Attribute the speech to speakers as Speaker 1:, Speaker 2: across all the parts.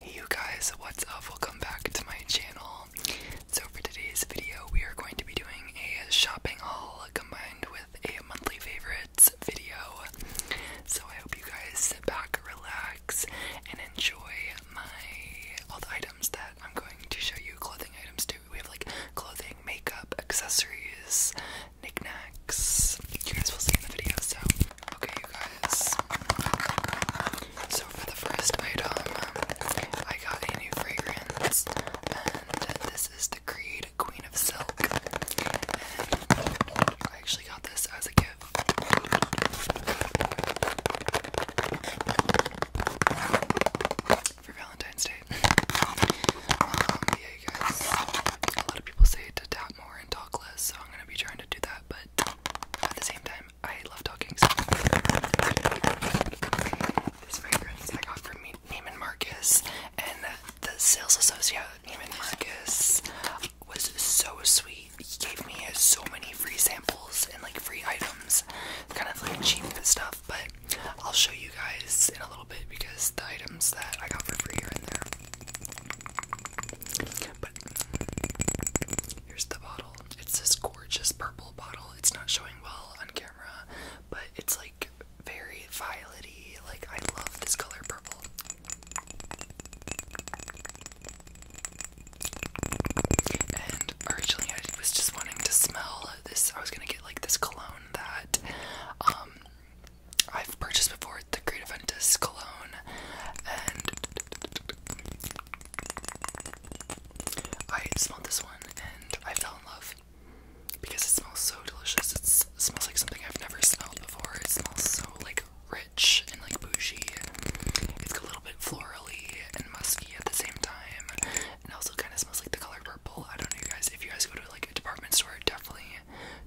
Speaker 1: Hey you guys, what's up? Welcome back to my channel. So for today's video, we are going to be doing a shopping haul combined with a monthly favorites video. So I hope you guys sit back, relax, and enjoy my all the items that I'm going to show you. Clothing items too. We have like clothing, makeup, accessories, knickknacks. You guys will see in the video. So Okay, you guys. So, for the first item, I got a new fragrance, and this is the Creed Queen of Silk. I actually got this as a gift. For Valentine's Day. Um, a lot of people say to tap more and talk less, so I'm gonna be trying to do that, but at the same time, I love talking. So. This fragrance I got from Neiman Marcus, and the sales associate at Neiman Marcus was so sweet. He gave me so many free samples and like free items, kind of like cheap stuff. But I'll show you guys in a little bit because the items that I got for free are in there. But here's the bottle. It's this gorgeous purple bottle. It's not showing well on camera, but it's like very violety. Like I love this color purple. And originally I was just wanting to smell this. I was gonna get like this cologne that um I've purchased before the Great Juventus Cologne, and I smelled this one and I fell in love because it smells so delicious. it smells like something I've never smelled before. It smells so like rich and like bougie. It's a little bit florally and musky at the same time, and also kind of smells like the color purple. I don't know, you guys. If you guys go to like a department store, definitely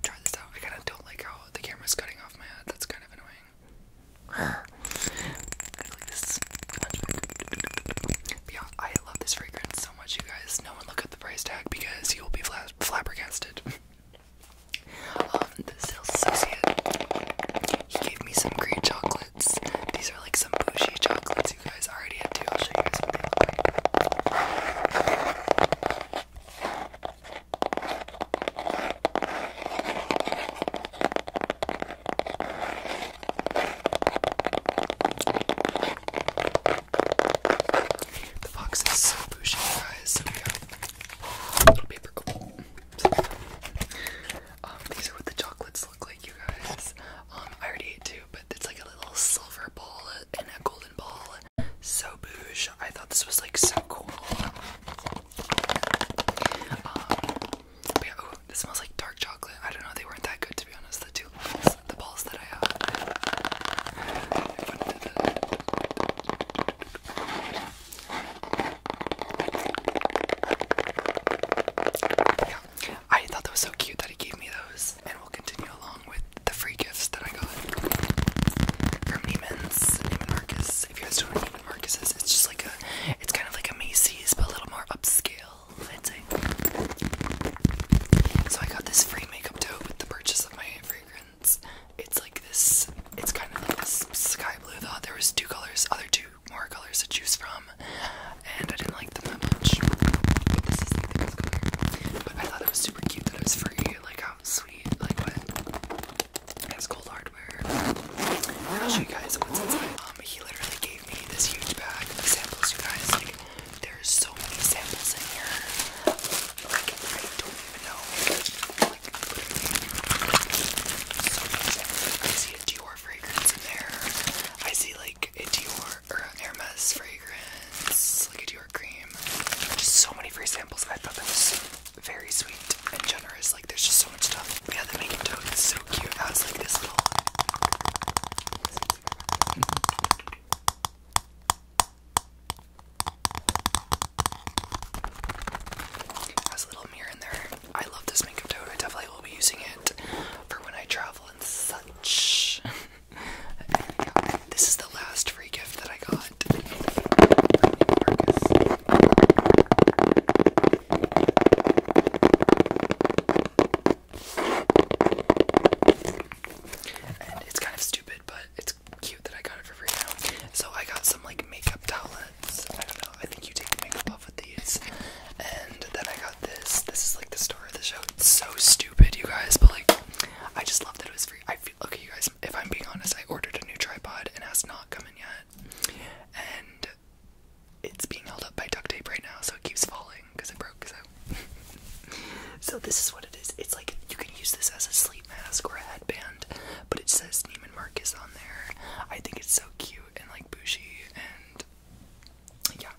Speaker 1: try this out. I kind of don't like how the camera's cutting off my head. That's kind of annoying. I love this fragrance so much, you guys. No one look at the price tag because you will be flabbergasted. the sales associate, he gave me some green chocolates. These are like some bougie chocolates, you guys. already have two. I'll show you guys what they look like. The box is so bougie, guys. So little paper. Oh, these are what the chocolates look like, you guys. Um, I already ate two, but it's like a little silver ball and a golden ball. So bougie. I thought this was like so cool. Um, this smells like dark chocolate. I don't know, they weren't that good to be honest. The two the balls that I have. Yeah, I thought that was so cute that he gave me those, and we'll continue along with the free gifts that I got from Neiman's, Marcus, if you guys don't know what it's just like a, it's kind of like a Macy's but a little more upscale, i So I got this free makeup tote with the purchase of my fragrance. It's like this, it's kind of like this sky blue though. There was two colors, other two more colors to choose from, and I didn't like them that much. But this is I thought it was super cute that it was free, sounds sweet, like what? It's cold hardware. I'll show you guys what's inside. Um, he literally gave me this huge bag of samples, you guys. Like, there's so many samples in here. Like, I don't even know. Like, I see a Dior fragrance in there. I see, like, a Dior or a Hermes fragrance, like a Dior cream. Just so many free samples. I thought that was very sweet and generous. Like there's just so much stuff. Yeah, the making tote is so cute. Now it's like this little. Has a little mirror in there. I love this makeup tote. I definitely will be using it for when I travel and such. This is the last free gift that I got. And it's kind of stupid, but it's cute that I got it for free So I got some like makeup towels. I don't know. I think you take makeup off with these. And then I got this. This is like the star of the show. It's so stupid, you guys, but like I just love that it was free. I feel okay, you guys if I'm being honest, I ordered a new tripod and has not come in yet. And it's being held up by duct tape right now, so it keeps falling because I broke. So, so this is what it is. It's like you can use this as a sleep mask or a headband, but it says Neiman Marcus on there. I think it's so cute and like bougie, and yeah,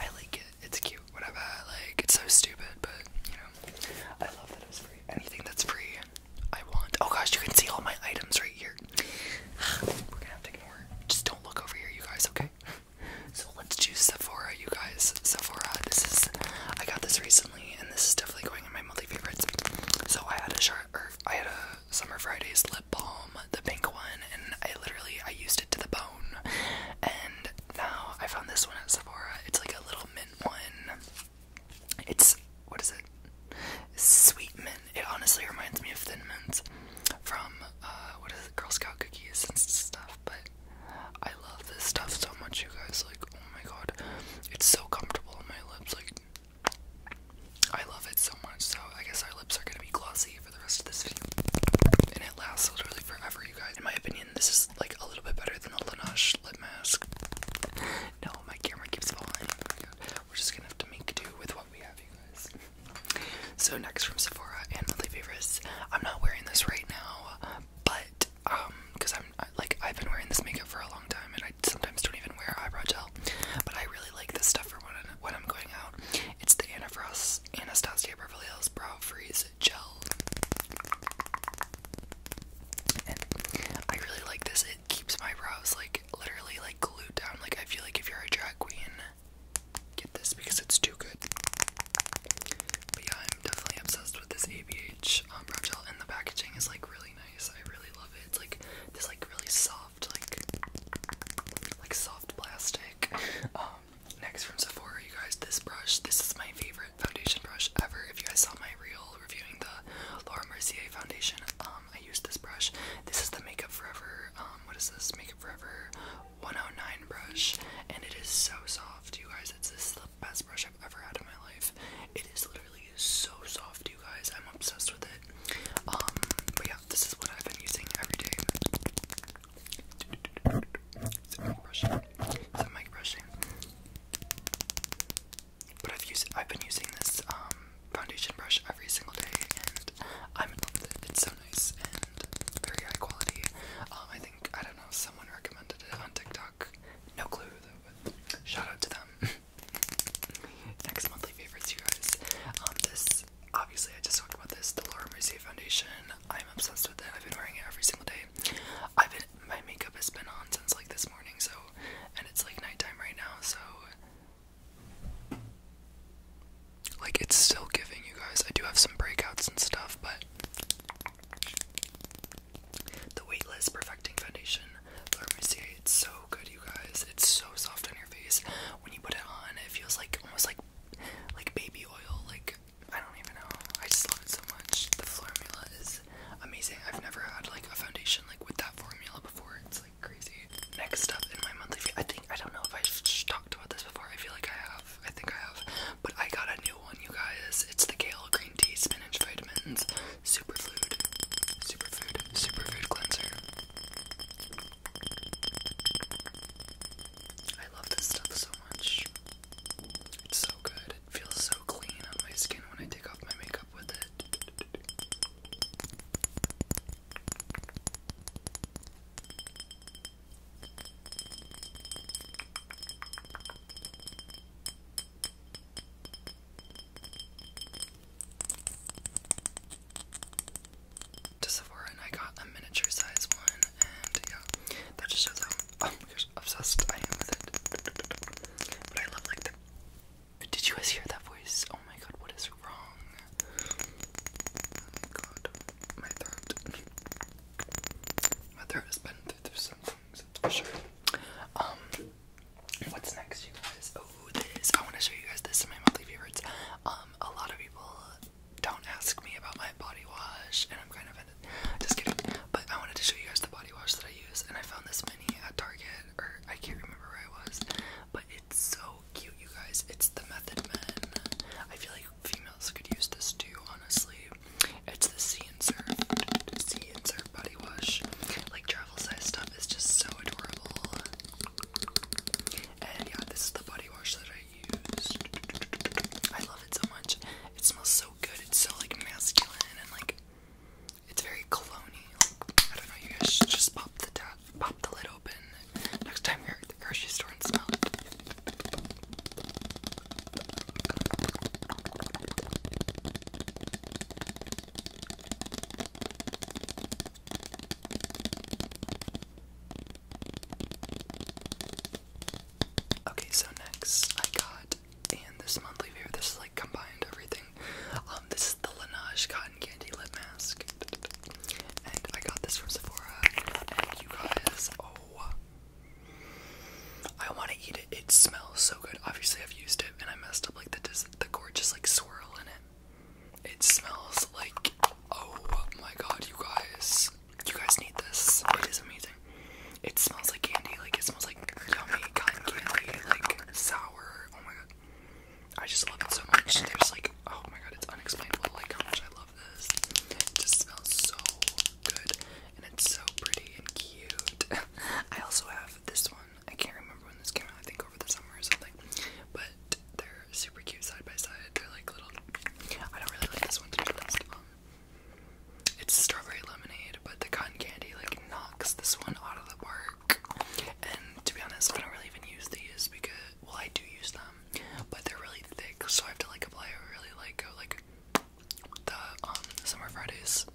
Speaker 1: I like it. It's cute, whatever. Like it's so stupid, but you know, I love that it's free. Anything that's free, I want. Oh gosh, you can see all my items right here. We're gonna have to ignore. Just don't look over here, you guys, okay? So let's choose Sephora, you guys. Sephora, this is. I got this recently, and this is definitely going in my monthly favorites. So I had a sharp, or I had a Summer Fridays lip balm, the pink one, and I literally I used it to the bone. And now I found this one at Sephora. It's like a little mint one. It's what is it? Sweet mint. It honestly reminds me of Thin Mints from uh, what is it? Girl Scout cookies and stuff. But I love this stuff so much, you guys. Like, oh my god, it's so comfortable on my lips. Like, I love it so much. So I guess our lips are gonna be glossy for the rest of this video, and it lasts literally forever, you guys. In my opinion, this is like a little bit better than a Laneige lip mask. No, my camera keeps falling. Oh We're just gonna have to make do with what we have, you guys. So next from Sephora and Monthly Favorites, I'm not wearing this right now, but um, because I'm like I've been wearing this makeup for a long time, and I sometimes don't even wear eyebrow gel, but I really like this stuff for when, when I'm going out. It's the Anna Frost Anastasia Beverly Hills Brow Freeze and I really like this. It keeps my brows like literally like glued down. Like I feel like if you're a drag queen, get this because it's too good. But yeah, I'm definitely obsessed with this ABH um, brow gel, and the packaging is like really nice. I really love it. It's like this like really soft like like soft plastic. Um, next from Sephora, you guys, this brush. This is my favorite foundation brush ever. If you guys saw my reel reviewing the Laura Mercier foundation, um, I used this brush. This is the Makeup Forever, um, what is this? Makeup Forever 109 brush, and it is so soft, you guys. It's the best brush I've ever had in my life. It is literally so soft, you guys. I'm obsessed with it. Um, but yeah, this is what I've been using every day. Is it mic brushing? But I've used I've been using this um, foundation brush every single day and I'm in love with it. It's so nice and very high quality. Um, I think I don't know, someone recommended it on TikTok. No clue though, shout out to them. Next monthly favorites you guys. Um, this obviously I just talked about this, the Laura Mercier foundation. I'm obsessed with it. I've been wearing it every single day. I've been my makeup has been on since like this morning, so and it's like nighttime right now, so like it's still giving you guys. I do have some breakouts and stuff, but the Weightless Perfecting Foundation, Laura Mercier, it's so good, you guys. It's so soft on your face. When you put it on, it feels like almost like like baby oil, like I don't even know. I just love it so much. The formula is amazing. I've never had like a foundation like with that formula before. It's like crazy. Next up in my monthly, I think I don't know if I've talked about this before. I feel like I have. I think I have. But I got a new one, you guys. It's the kale green tea spinach vitamins superfood, superfood, superfood cleanser. I love this stuff so much. It's so good. It feels so clean on my skin when I take off my makeup with it. To Sephora, and I got a miniature size one, and yeah, that just shows Oh my gosh, obsessed I am with it. But I love like the. Did you guys hear that voice? Oh my god, what is wrong? Oh my god, my throat. my throat has been through, some things, Um, what's next, you guys? Oh, this. I want to show you guys this in my monthly favorites. Um, a lot of people don't ask me about my body wash, and I'm kind of in just kidding. But I wanted to show you guys the body wash that I use, and I found this mini at Target, or I can't remember where I was. But it's so cute, you guys. It's the Method Men. I feel like females could use this too, honestly. It's the Sea and Surf, and Surf body wash. Like travel size stuff is just so adorable. And yeah, this is the body wash that I used. I love it so much. It smells so it's so like masculine and like it's very cologne. I don't know, you guys should just pop the top, pop the lid open next time you're at the grocery store and smell Okay, so next I got, and this monthly view, this is like combined everything. Um, this is the Laneige Cotton Candy Lip Mask. And I got this from Sephora. And you guys, oh. I want to eat it. It smells so good. Obviously, I've used it and I messed up like the, the gorgeous like swirl in it. It smells like, oh my god, you guys. You guys need this. It is amazing. It smells like candy. Like it smells like yummy cotton candy. Like sour. Oh my god. I just love it so much. There's like oh my god, it's unexplainable like how much I love this. It just smells so good. And it's so pretty and cute. I also have this one. I can't remember when this came out, I think over the summer or something. But they're super cute side by side. They're like little I don't really like this one to be honest. Um, it's strawberry lemonade, but the cotton candy like knocks this one out of the park. And to be honest, I don't really even use these because well, I do use them, but they're really thick, so I have to like apply a really like go like the um summer Fridays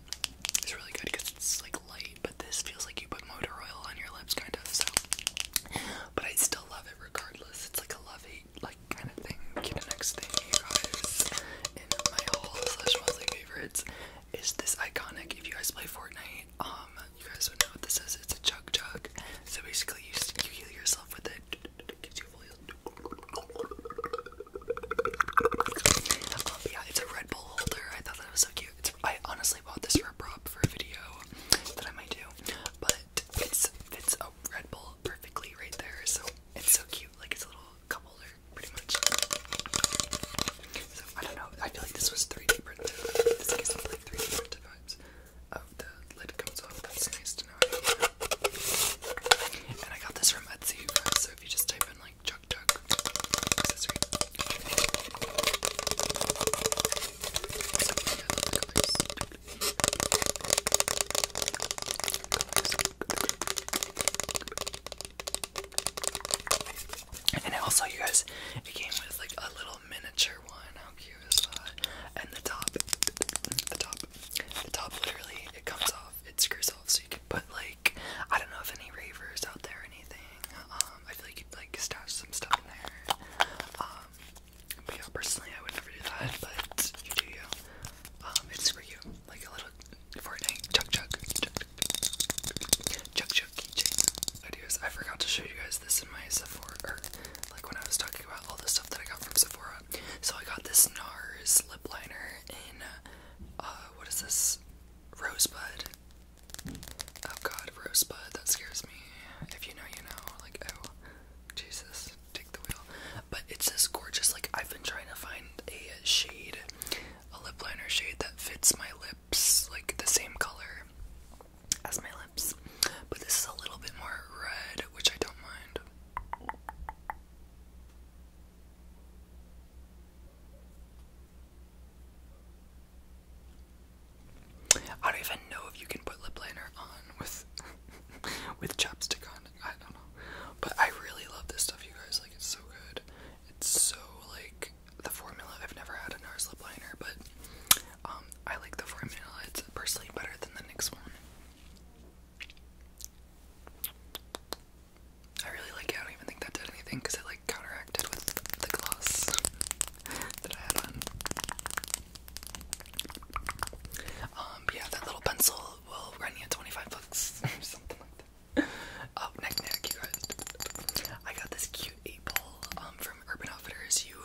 Speaker 1: is really good because it's like light, but this feels like you put motor oil on your lips, kind of. So, but I still love it regardless. It's like a love like kind of thing. next thing you guys in my haul slash mostly favorites is this iconic. If you guys play Fortnite, um, you guys would know what this is. It's a chug chug. So basically, you you heal yourself with it. Um, yeah, it's a Red Bull holder. I thought that was so cute. I honestly bought this for a prop for a video that I might do, but fits fits a Red Bull perfectly right there. So it's so cute. Like it's a little cup holder, pretty much. So I don't know. I feel like this was 3D printed. This gives me like 3D printed vibes. Oh, the lid comes off. That's nice to know. And I got this from Etsy, you guys. So if you just type in like Chuck Chuck accessory. So, yeah, the colors. And also, you guys, it came with like a little miniature one. How cute is that? And the top, the top, the top literally, it comes off, it screws off, so you can put like, I don't know if any ravers out there or anything. Um, I feel like you could like stash some stuff in there. Um, but personally, I would never do that, but you do you. Um, it's for you, like a little Fortnite chuck chuck chuck chuck chuck keychain videos. I forgot to show you guys this in my Sephora, or like when I was talking about all the stuff that I got from Sephora. So I got this NARS lip liner in, uh, what is this? Rosebud. Oh god, Rosebud, that scares me. If you know, you know. Like, oh, Jesus take the wheel. But it's this gorgeous, like, I've been trying to find a shade, a lip liner shade that fits my lips, like, the same color as my lips. But this is a little bit more red, which I don't mind. I don't even know if you can put lip liner on with with chapstick on. I don't know. But I really love this stuff, you guys. Like, it's so good. It's so, like, the formula. I've never had a NARS lip liner, but um, I like the formula. It's personally better than the next one. I really like I don't even think that did anything because it, like, counteracted with the gloss that I had on. Um, yeah, that little pencil will run you 25 bucks Oh, neck, neck, you guys. I got this cute eight ball um, from Urban Outfitters. You,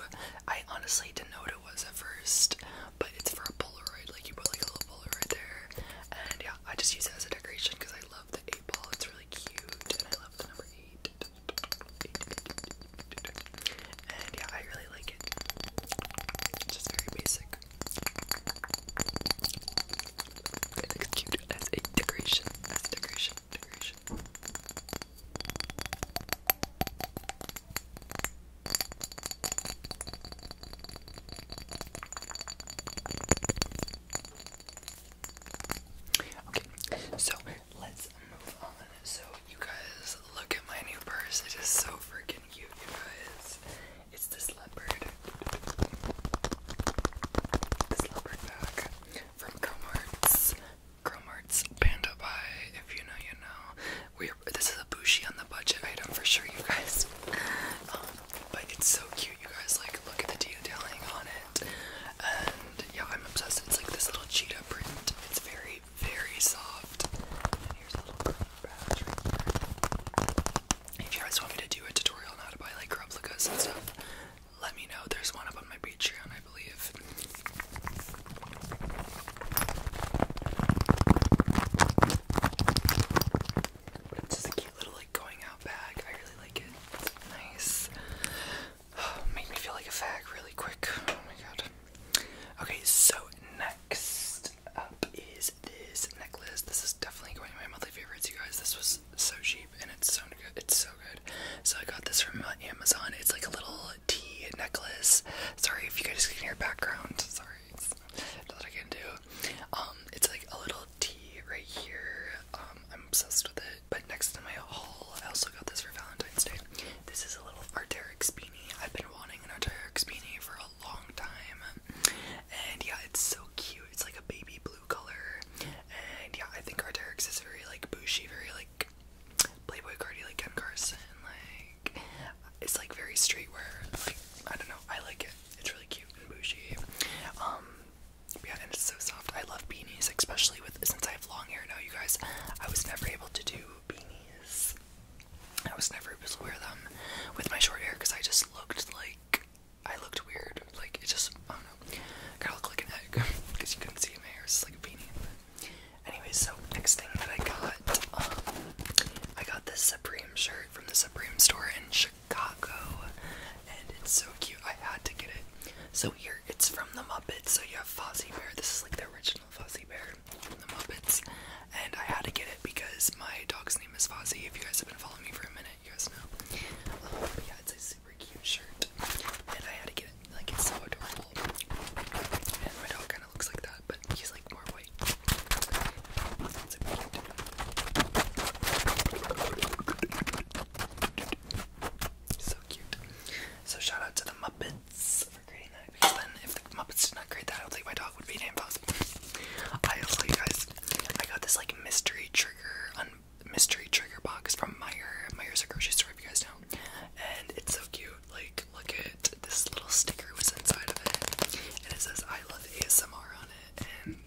Speaker 1: I honestly didn't know what it was at first, but it's for a Polaroid. Like, you put like a little Polaroid there. And yeah, I just use it as a decoration because I love the eight ball. It's really cute, and I love the number eight. eight, and yeah, I really like it. just very basic. It cute as a decoration. As a Okay, so let's move on. So you guys look at my new purse. It is so freaking you guys. It's this leopard. This leopard bag from Cromart's. Cromart's Panda Pie. If you know, you know. We are this is a bushy on the budget item for sure, you guys. Um, but it's so cute, you guys. Like, look at the detailing on it. And yeah, I'm obsessed. It's like this little cheetah print. It's very very, soft. If you guys want me to do a tutorial on how to buy like replicas and stuff, let me know. There's one up on my Patreon, I believe. it's just a cute little like going out bag. I really like it. nice. Make me feel like a fag really quick. Oh my god. Okay, so next up is this necklace. This is definitely going to be my monthly favorites, you guys. This was so cheap and it's so good. It's so good. So I got this from Amazon. It's like a little T necklace. Sorry if you guys can hear background. Sorry, it's I can do. Um, it's like a little T right here. Um, I'm obsessed with it. But next to my haul, I also got this for Valentine's Day. This is a little Arterix bean I've been wanting an Arturix beanie for a long time. And yeah, it's so cute. It's like a baby blue color. And yeah, I think Arturix is very like bushy, very like Playboy Cardi, like Ken Carson. Like, it's like very streetwear. Like, I don't know. I like it. It's really cute and bushy. Um, yeah, and it's so soft. I love beanies, especially with since I have long hair now, you guys. I was never able to do beanies I was never able to wear them with my short hair because I just looked like I looked weird. Like it just I don't know. Kind of looked like an egg because you couldn't see my hair. It's just like a beanie. But anyway, so next thing that I got, um, I got this Supreme shirt from the Supreme store in Chicago, and it's so cute. I had to get it. So here, it's from the Muppets. So you have Fozzie Bear. This is like the original Fuzzy Bear from the Muppets, and I had to get it because my dog's name is Fuzzy. If you guys have been following me for a minute, you guys know. Um, yeah, it's a super cute shirt, and I had to get it. Like, it's so adorable. And my dog kind of looks like that, but he's like more white. So cute. So shout out to the Muppets. Muppets for creating that because then if the Muppets did not create that, I don't think my dog would be named Fozzie. I also, you guys, I got this like mystery trigger mystery trigger box from Meyer. Meyer's a grocery store, if you guys know, and it's so cute. Like, look at this little sticker was inside of it, and it says "I love ASMR" on it, and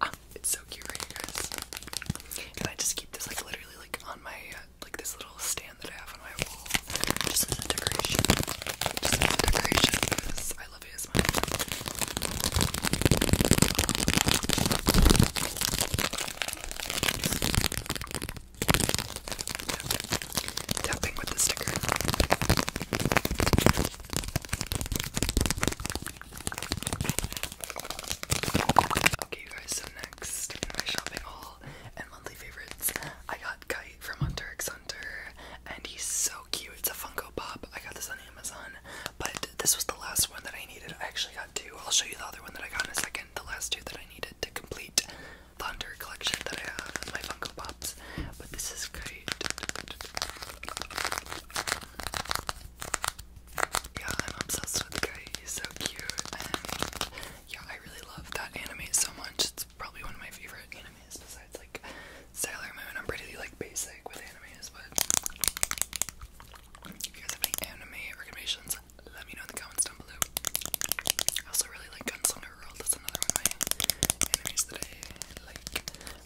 Speaker 1: ah, it's so cute, guys? And I just keep this like literally like on my uh, like this little stand that I have on my wall, just as a decoration, just as decoration I love ASMR. Just tapping with the sticker. Okay, guys. So next my shopping haul, monthly favorites. I got Kite from Hunter x Hunter, and he's so cute. It's a Funko Pop. I got this on Amazon, but this was the last one that I needed. I actually got two. I'll show you the other one that I got in a second. The last two that I needed to complete the Hunter collection that I have in my Funko Pops. But this is great. Yeah, I'm obsessed with Kite. He's so cute yeah, I really love that anime so much. It's probably one of my favorite animes besides like Sailor Moon. I'm pretty like basic with animes, but if you guys have any anime recommendations, let me know in the comments down below. I also really like Gunslinger Girl. That's another one of my animes that I like.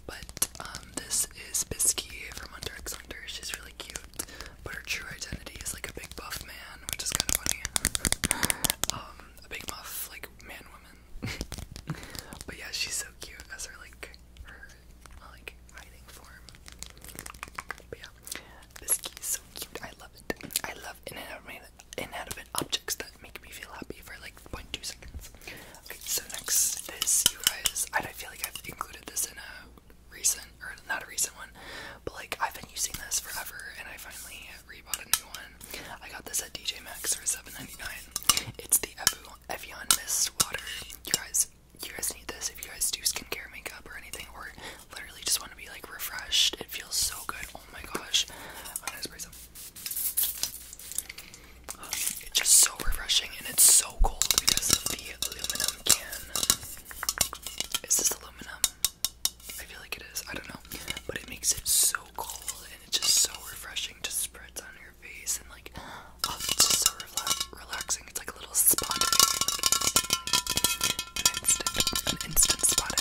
Speaker 1: But um, this is Bisky from Hunter x Hunter. She's really cute but her true identity is like a big buff man, which is kind of funny. Um, a big buff like man woman. but yeah, she's so cute as her like her like hiding form. But yeah, this key is so cute. I love it. I love inanimate inanimate objects that make me feel happy for like 0.2 seconds. Okay, so next is you guys. I feel like I've included this in a recent or not a recent one, but like I've been using this forever, and I finally rebought a new one. I got this at DJ Max for seven ninety nine. It's the Evian Mist Water. You guys, you guys need this if you guys do skincare, makeup, or anything, or literally just want to be like refreshed. It feels so good. Oh my gosh, I'm spray some. It's just so refreshing and it's so cold because of the aluminum can. Is this aluminum? I feel like it is. I don't know. But it makes it so cold and it's just so refreshing. Just spreads on your face and like, oh, it's just so relaxing. It's like a little spot. Like, an instant, an instant spot.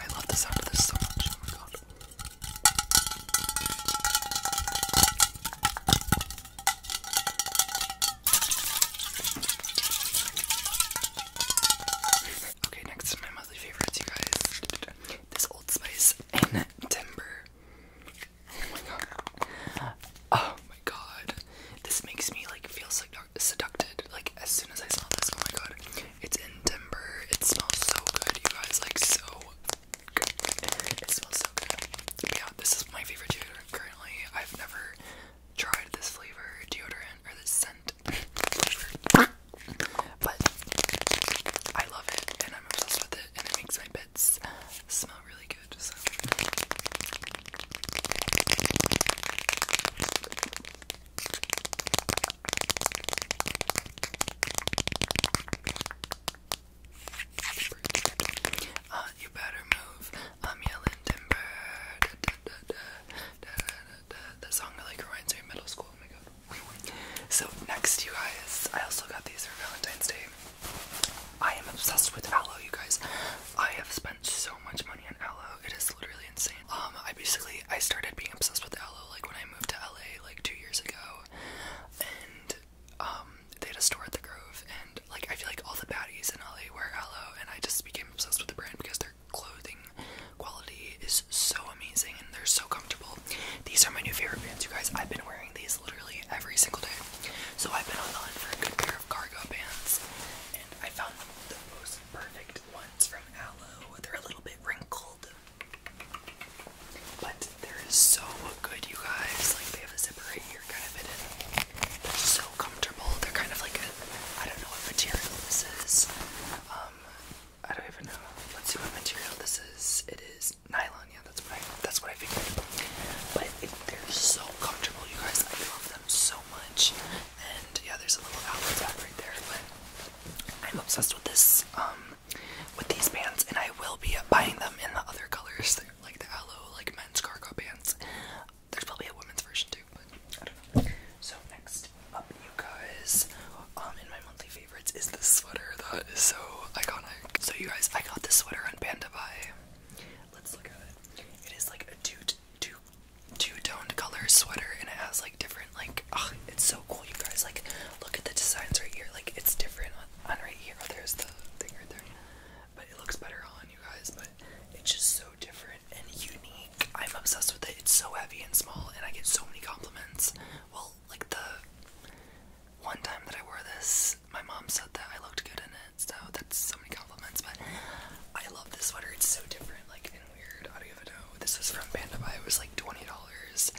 Speaker 1: I love the sound of this so much. Oh my god. Okay, next is my monthly favorites, you guys. This Old Spice and Timber. Oh my god. Oh my god. This makes me like feel seduced. Like as soon as I saw this, oh my god, it's in timber. It smells so good, you guys. Like so good. It smells so good. Yeah, this is my favorite deodorant currently. I've never tried this flavor deodorant or this scent but I love it and I'm obsessed with it, and it makes my bits smell really good. Uh, you better move. I'm yelling timber. Da, da, da, like reminds me middle school. Oh my god. So next, you guys, I also got these for Valentine's Day. I am obsessed with aloe, you guys. I have spent so much money on aloe it is literally insane. Um, I basically I started being obsessed with Allo like when I moved to LA like two years ago, and um, they had a store at the Grove, and like I feel like all the baddies in LA wear Allo, and I just became obsessed with the brand because their clothing quality is so amazing and they're so comfortable. These are my new favorite pants, you guys. I've been wearing these literally every single day, so I've been on the hunt for a good pair of cargo pants, and I found the most perfect ones from Allo. They're a little bit wrinkled. But they're so good, you guys. Like, they have a zipper right here kind of hidden. They're so comfortable. They're kind of like a, I don't know what material this is. Um, I don't even know. Let's see what material this is. It is nylon. Yeah, that's what I, that's what I figured. But they're so comfortable, you guys. I love them so much. And yeah, there's a little outlet back right there, but I'm obsessed with this, um, with these pants, and I will be buying them in the other colors, like the aloe, like men's cargo pants. There's probably a women's version too, but I don't know. So next up, you guys, um, in my monthly favorites is this sweater that is so iconic. So you guys, I got this sweater on Panda Let's look at it. It is like a two, two, two-toned color sweater and it has like different like it's so cool you guys like look at the designs right here like it's different on, right here oh, there's the thing right there but it looks better on you guys but it's just so different and unique i'm obsessed with it it's so heavy and small and i get so many compliments well like the one time that i wore this my mom said that i looked good in it so that's so many compliments but i love this sweater it's so different like weird audio video. This is from Pandabai. It was like twenty dollars.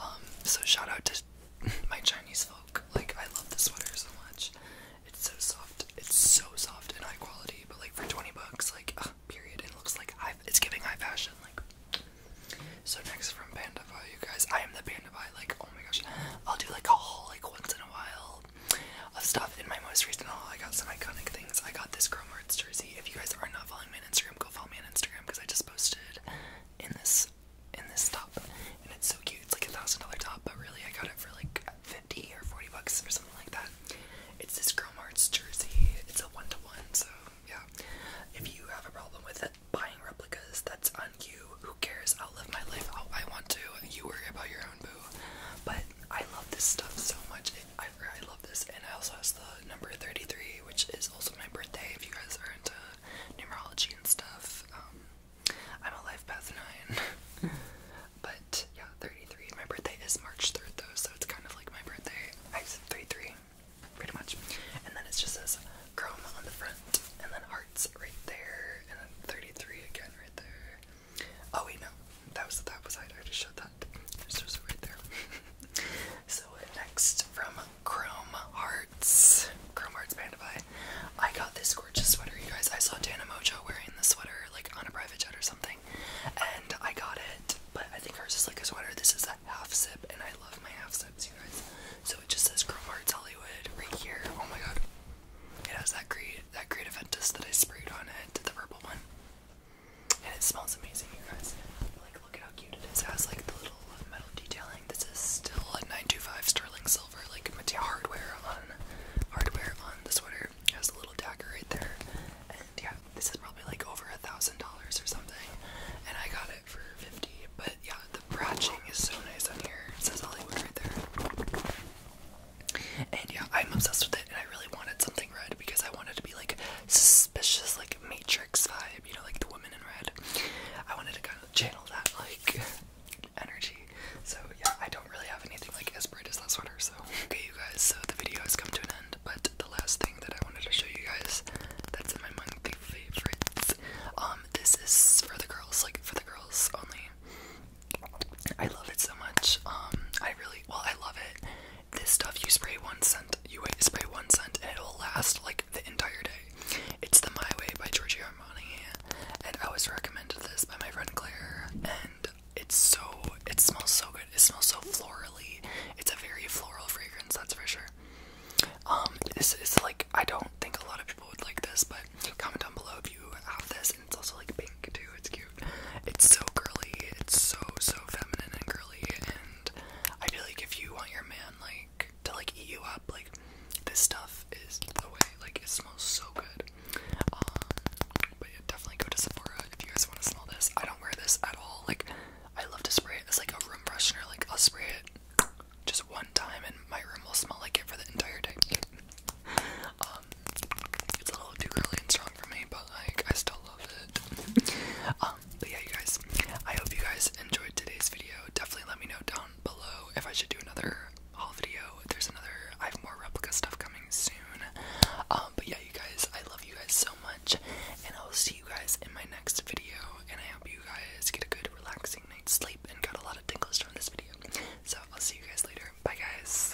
Speaker 1: Um, so shout out to my Chinese folk. Like I love the sweater so much. It's so soft. It's so soft and high quality. But like for twenty bucks, like uh, period. And it looks like high, it's giving high fashion. Like so. Next from Pandabai, you guys. I am the Pandabai. Like oh my gosh, I'll do like a haul like once in a while of stuff. In my most recent haul, I got some iconic things. I got this Girl jersey. If you guys are not following me on Instagram, go follow me on Instagram because I just posted in this in this top, and it's so cute. It's like a thousand dollar top, but really I got it for like fifty or forty bucks or something like that. It's this Girl jersey. It's a one to one, so yeah. If you have a problem with it, buying replicas, that's on you. Who cares? I'll live my life I want to. You worry about your own boo. But I love this stuff so much. I I, love this, and I also have the number 33, which is also my birthday. If you guys are into numerology and stuff, um, I'm a life path nine, but yeah, 33. My birthday is March 3rd, though, so it's kind of like my birthday. I said 33, pretty much, and then it just says chrome on the front, and then hearts right there, and then 33 again right there. Oh wait, no, that was the top side. I just showed that. It's just right there. so next from Chrome Hearts, Chrome Hearts Panda Pie. I got this gorgeous sweater, you guys. I saw Dana Mojo wearing the sweater like on a private jet or something, and I got it. But I think hers is like a sweater. This is a half zip, and I love my half zips, you guys. So it just says Chrome Hearts Hollywood right here. Oh my god. It has that great that great Aventus that I sprayed on it, Did the purple one. And it smells amazing, you guys. Like, look at how cute it is. It has like the little metal detailing. This is still a 925 sterling silver, like hardware on hardware on the sweater. has a little dagger right there. And yeah, this is probably like over a thousand dollars or something. And I got it for 50. But yeah, the bratching is so nice on here. It says Hollywood right there. And yeah, I'm obsessed with it, and I really wanted something red because I wanted to be like suspicious, like Matrix vibe, you know, like the woman in red. I wanted to kind of channel that like energy. So yeah, I don't really have anything like as bright as that sweater. So okay, you guys. So the video has come to an end, but the last thing that I wanted to show you guys that's in my mind the favorites. Um, this is for the girls, like for the girls only. I love it so much. Um, I really well, I love it. This stuff you spray one scent, you spray one scent, and it'll last like the entire day. It's the My Way by Giorgio Armani, and I was recommended this by my friend Claire, and it's so it smells so good. It smells so florally. It's a very floral fragrance, that's for sure. Um, this is like I don't think a lot of people would like this, but comment down below if you have this it's also like pink too. It's cute. It's so girly. It's so so feminine and girly. And I feel like if you want your man like to like eat you up, like this stuff is the way. Like it smells so good. Um, but yeah, definitely go to Sephora if you guys want to smell this. I don't wear this at all. Like I love to spray it. It's like a room freshener. Like I'll spray it just one time and my room will smell like it for the entire day. um, it's a little too early and strong for me, but like I still love it. Um, but yeah, you guys, I hope you guys enjoyed today's video. Definitely let me know down below if I should do another haul video. There's another, I have more replica stuff coming soon. Um, but yeah, you guys, I love you guys so much, and I'll see you guys in my next video. And I hope you guys get a good, relaxing night's sleep and got a lot of tingles from this video. So I'll see you guys later. Bye, guys.